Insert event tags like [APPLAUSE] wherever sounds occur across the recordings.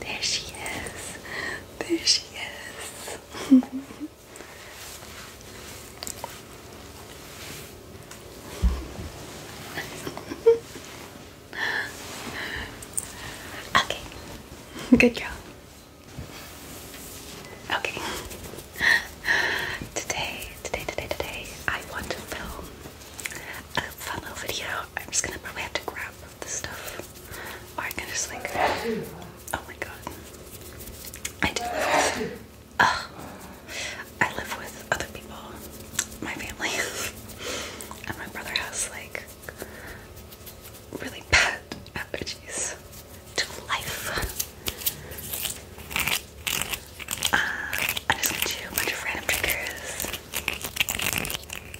There she is. There she is. [LAUGHS] okay. Good job. Okay. Today, today, today, today, I want to film a fun little video. I'm just gonna probably have to grab the stuff. I can just like, oh my god. I do I live with other people, my family, [LAUGHS] and my brother has like really bad allergies to life. Uh, I'm just gonna do a bunch of random triggers.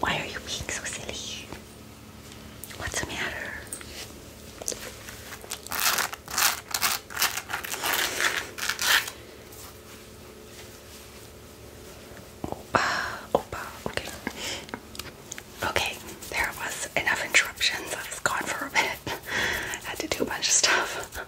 Why are you being so silly? What's the matter? Opa, opa, okay. Okay, there was enough interruptions. I was gone for a bit. [LAUGHS] had to do a bunch of stuff. [LAUGHS] Alright.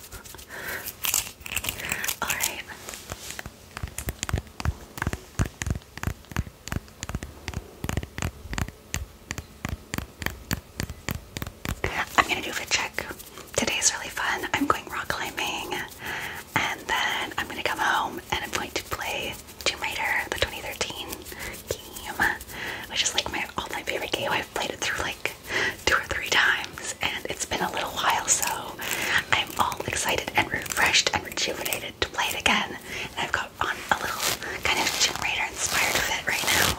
I'm gonna do a fit check. Today's really fun. I'm going rock climbing and then I'm gonna come home and I'm going to play Tomb Raider, the 2013 game, which is like my all time favorite game. I've played it through like two or three times, and it's been a little while, so I'm all excited and refreshed and rejuvenated to play it again. And I've got on a little kind of generator inspired fit right now.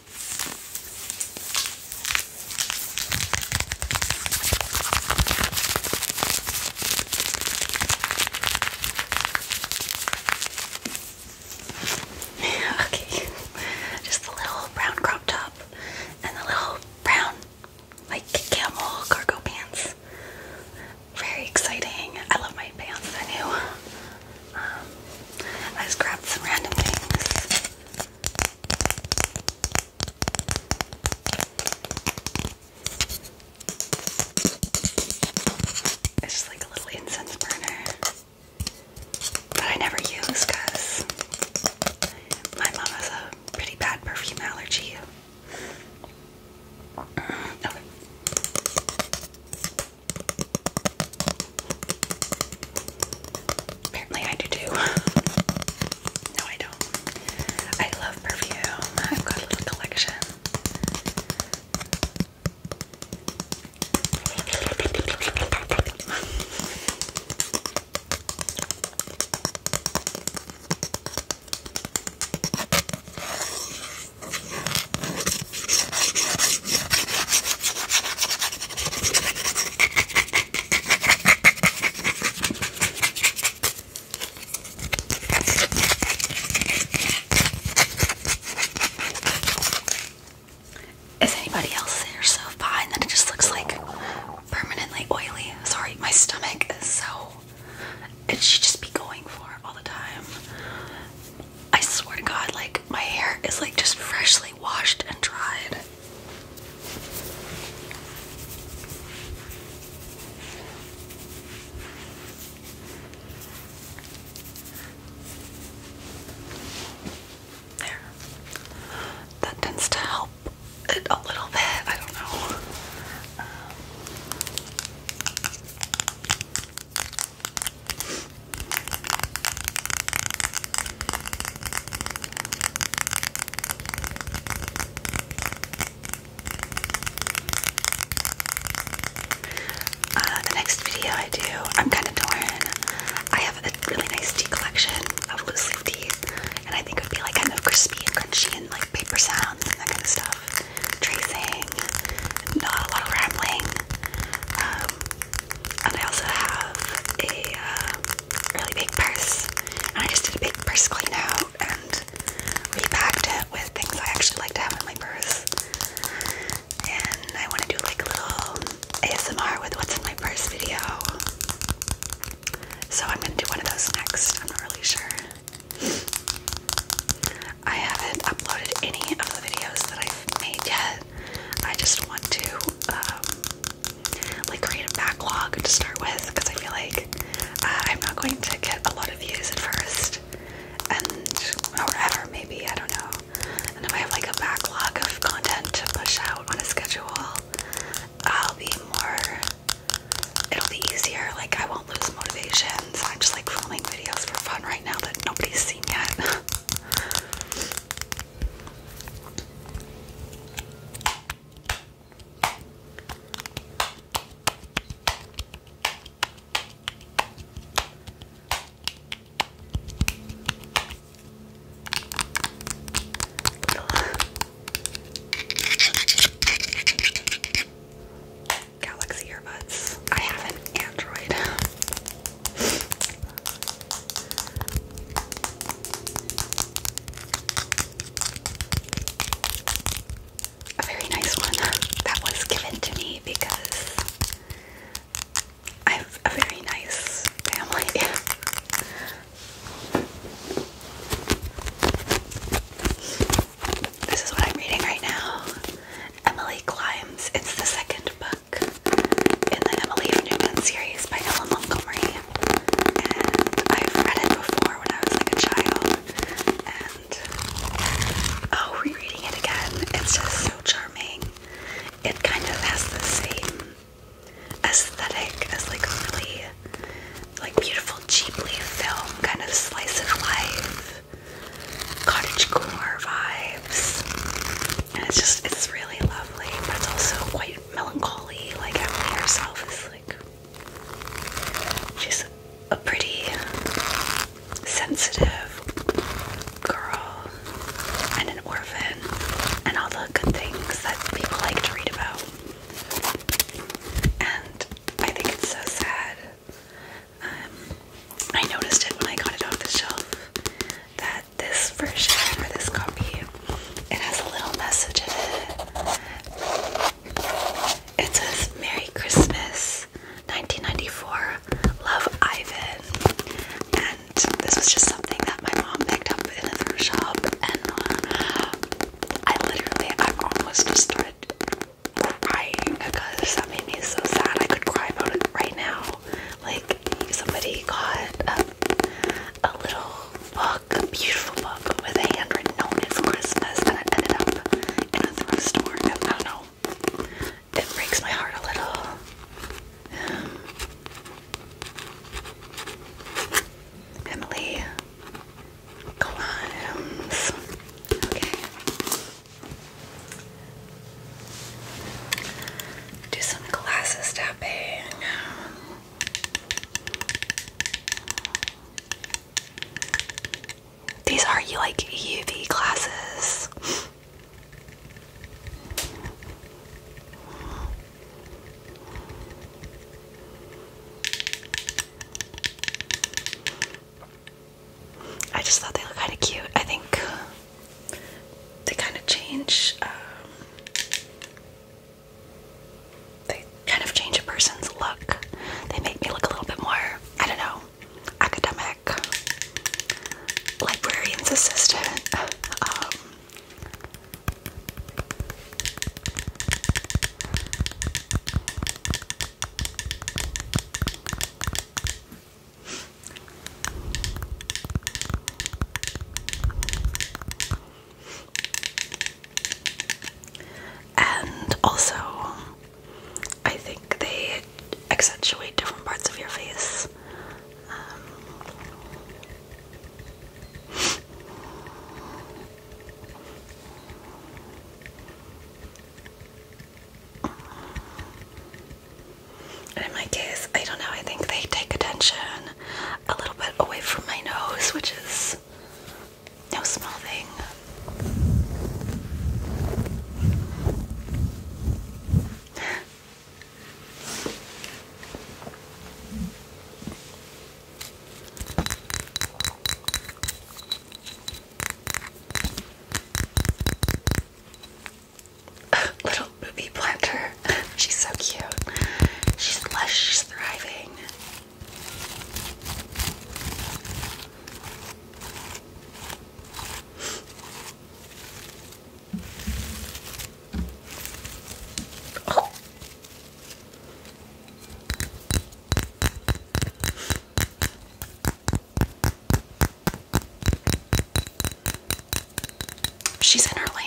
[LAUGHS] okay, just the little brown crop top and the little brown, like camel cargo pants. Very exciting. I love my pants. I knew. Um, I just grabbed some random things. It's just like a little incense burner that I never use my mom has a pretty bad perfume allergy. [CLEARS THROAT] Okay. Apparently, I do too. [LAUGHS] no, I don't. I love perfume. I've got a little collection. Is anybody else there so fine that it just looks like permanently oily? Sorry, my stomach is so. It should just be going for it all the time. I swear to God, like my hair is like just freshly washed and dried. There. That tends to help it a little bit. I don't know. Um, uh, the next video I do, I'm kind of torn. I have a really nice tea collection of loose leaf teas, and I think it would be like kind of crispy and crunchy and like paper sounds and that kind of stuff tracing, not a lot of rambling. Um, and I also have a uh, really big purse, and I just did a big purse clean and repacked it with things I actually like to have in my purse. And I want to do like little ASMR with what's in my purse video. So I'm gonna do one of those next. I'm not really sure I haven't uploaded any of the videos that I've made yet. I just want to um, like create a backlog to start with because I feel like uh, I'm not going to get a lot of views at first, and or ever maybe I don't know. And if I have like a backlog of content to push out on a schedule, I'll be more. It'll be easier. Like I won't lose motivation. I'm just like filming videos for fun right right now that nobody's seen yet. Galaxy earbuds. I have an Android. A very nice one that was given to me because I have a very nice family. [LAUGHS] This is what I'm reading right now. Emily Climbs. It's the second book in the Emily Newman series by Ella Montgomery. And I've read it before when I was like a child. And oh, rereading it again. It's just so charming. It kind of has the same aesthetic as like really like beautiful cheaply film kind of slice of life of cottagecore vibes. And it's just, it's really lovely, but it's also quite melancholy. Like, Emily herself is like, she's a pretty sensitive girl and an orphan, and all the good things that people like to read about. And I think it's so sad um, I noticed it when I got it off the shelf that this version or this copy, it has a little message in it. It says Merry Christmas 1994, Love Ivan. And this was just something that my mom picked up in a thrift shop, and uh, I literally, almost destroyed. started Crying because that made me so sad. I could cry about it right now. Like somebody got a, little book, a beautiful book with a handwritten note for Christmas, and it ended up in a thrift store. And I don't know. It breaks my heart a little. Emily, climbs. Okay. Do some glasses tapping. These are like UV glasses. I just thought they looked kind of cute. I think they kind of change. Um, they kind of change a person's look. They make me look a little bit more. I don't know, academic, librarian's assistant. [LAUGHS] Um, and also, I think they accentuate different parts of your face. Um, and in my case, I don't know, I think they take attention a little bit away from my nose, which is no small thing. [LAUGHS] Little booby planter. She's so cute. She's lush, she's thriving. She's in her lane.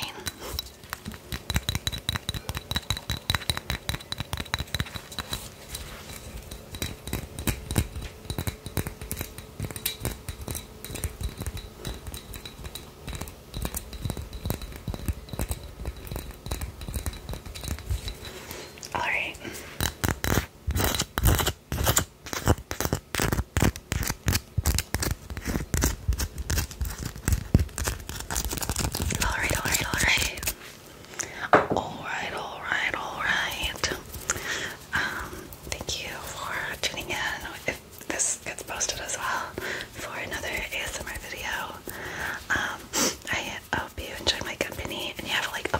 All right. All right, all right, all right. All right, all right, um, thank you for tuning in this gets posted as well for another ASMR video. Um, I hope you enjoy my company and you have like a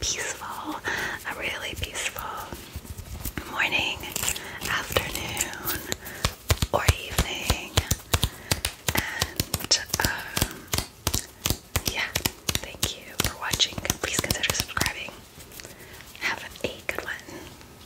peaceful, a really peaceful morning, afternoon, or evening. And um, yeah, thank you for watching. Please consider subscribing. Have a good one.